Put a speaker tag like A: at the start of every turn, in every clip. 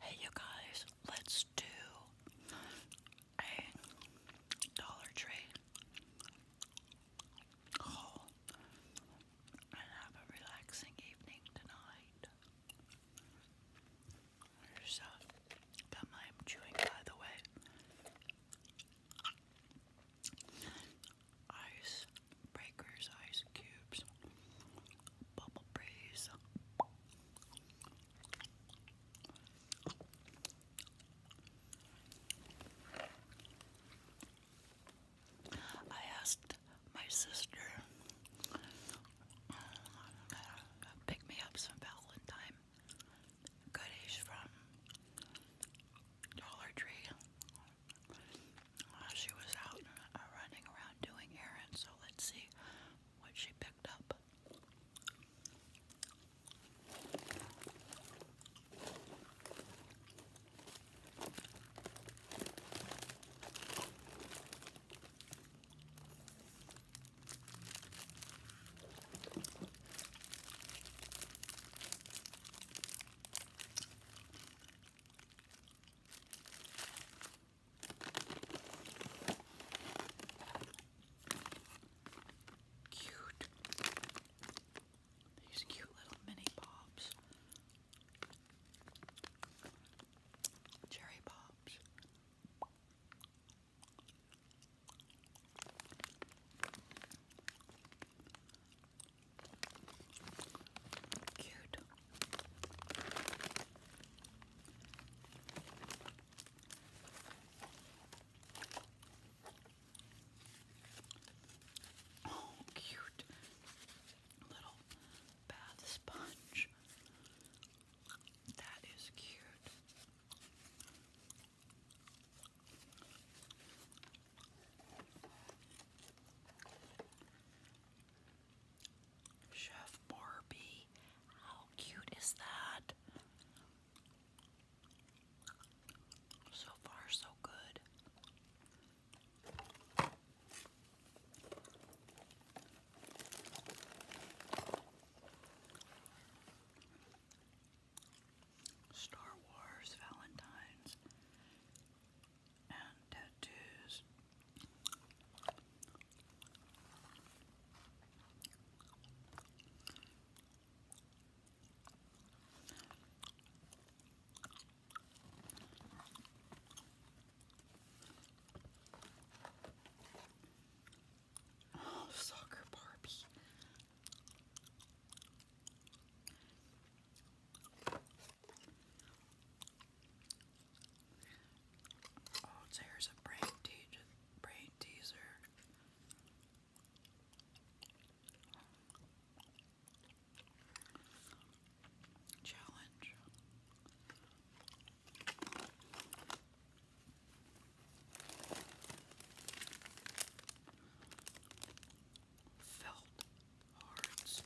A: Hey, you guys, let's do a Dollar Tree haul and have a relaxing evening tonight. There's uh, I am chewing, by the way ice breakers, ice cubes, bubble breeze. I asked my sister uh, pick me up some Valentine goodies from Dollar Tree uh, she was out uh, running around doing errands. So let's see what she picked up. Cute. These cute little mini pops. Cherry pops. Cute. Oh, cute little bath sponge. That is cute. Chef Barbie, how cute is that? So far, so good. Star Wars, Valentine's, and tattoos. Oh, soccer Barbie. Oh, there's a brain, te brain teaser. Challenge. Felt hearts.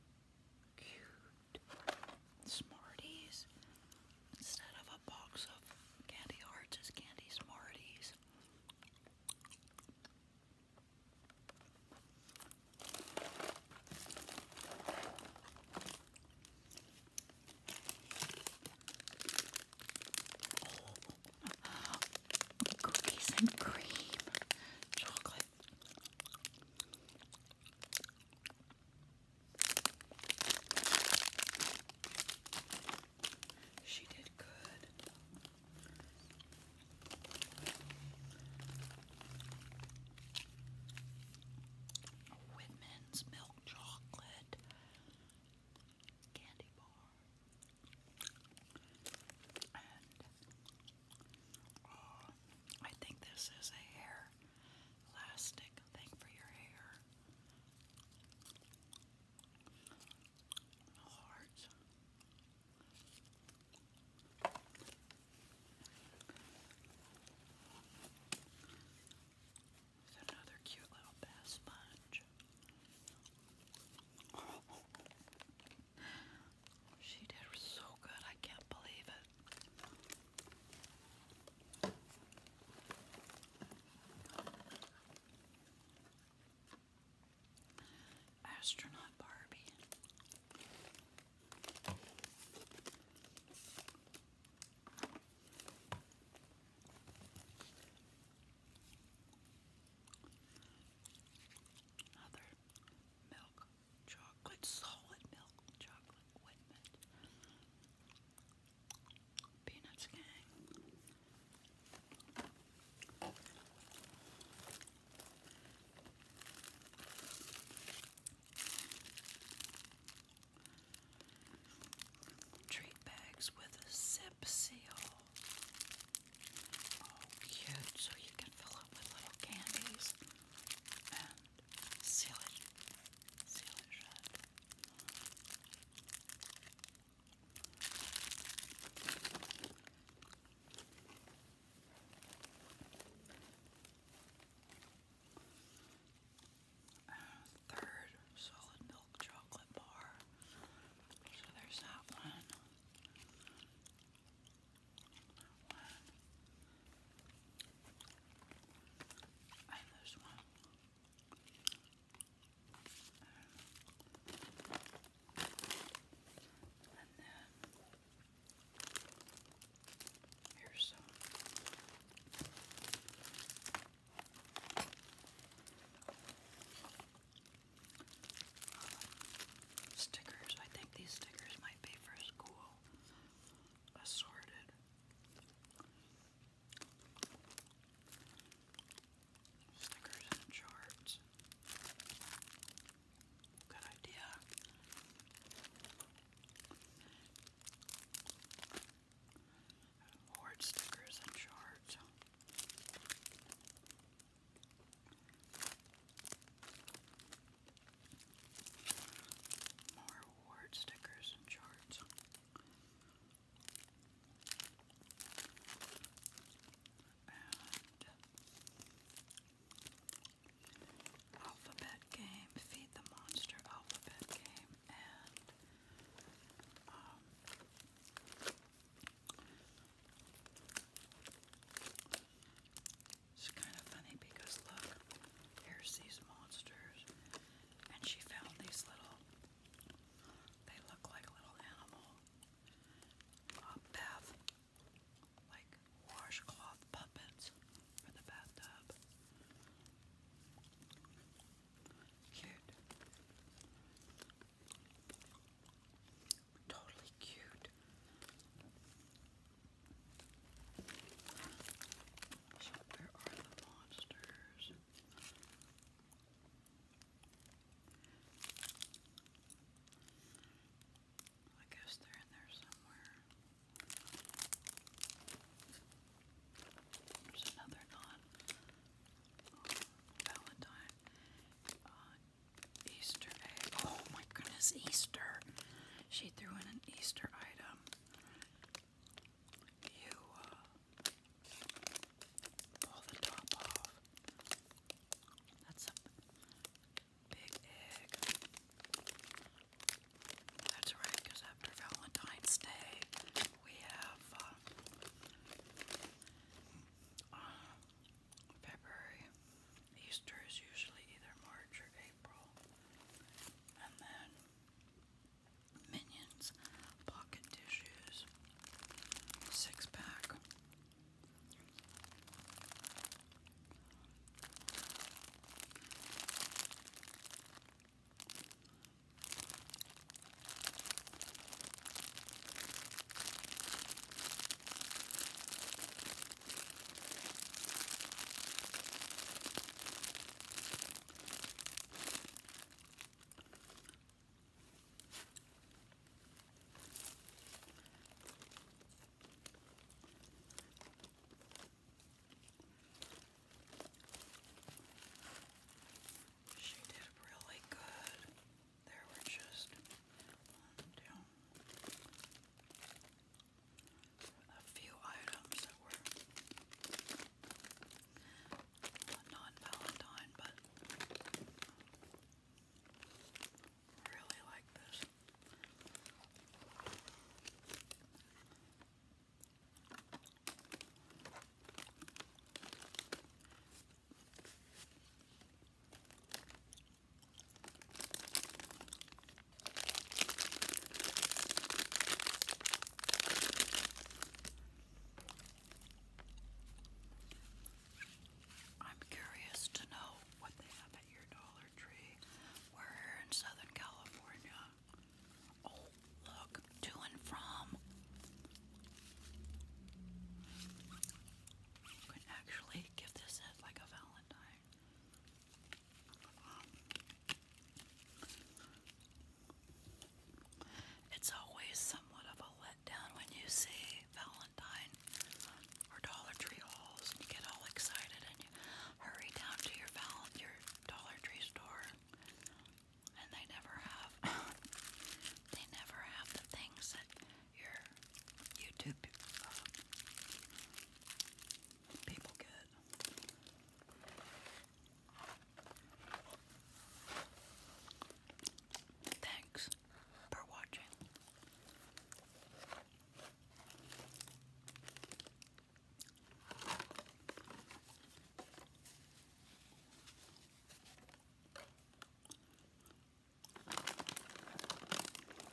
A: Cute. Smarties. Instead of a box of candy hearts, it's candy Smarties. cookies and cream, chocolate she did good. Whitman's milk chocolate candy bar uh, I think this is a hair elastic thing for your hair. Heart. another cute little bath sponge. She did so good, I can't believe it. Astronaut Barbie. Another milk chocolate solid milk, chocolate ointment, peanuts gang. Treat bags with a zip seal. Oh, cute! So you can fill it with little candies seal it, seal it Third solid milk chocolate bar. So there's that one one, and here's some uh, stickers. I think these stickers might be for school assorted. Stickers and charts. Good idea. Hoard stickers and charts. More award stickers and charts. Alphabet Game, Feed the Monster Alphabet Game, and um, it's kind of funny because look, here's these monsters, and she found these little, they look like little animal, bath, like washcloth puppets for the bathtub. Cute. Totally cute. So where are the monsters? I guess they're in there somewhere. There's another non uh, Valentine uh, Easter egg. Oh my goodness, Easter! she threw in an Easter item. You uh, pull the top off. That's a big egg. That's right, because after Valentine's Day, we have uh, uh, February. Easter is usually either March or April. And then Minions pocket tissues, six pack. She did really good. There were just one, two, a few items that were non-Valentine, but really like this. I'm curious to know what they have at your Dollar Tree. We're here in Southern California. Oh, look, to and from. You actually give this as like a Valentine. It's always somewhat of a letdown when you see Valentine or Dollar Tree hauls and you get all excited and you hurry down to your val your Dollar Tree store and they never have they never have the things that your YouTube uh, people get. Thanks for watching.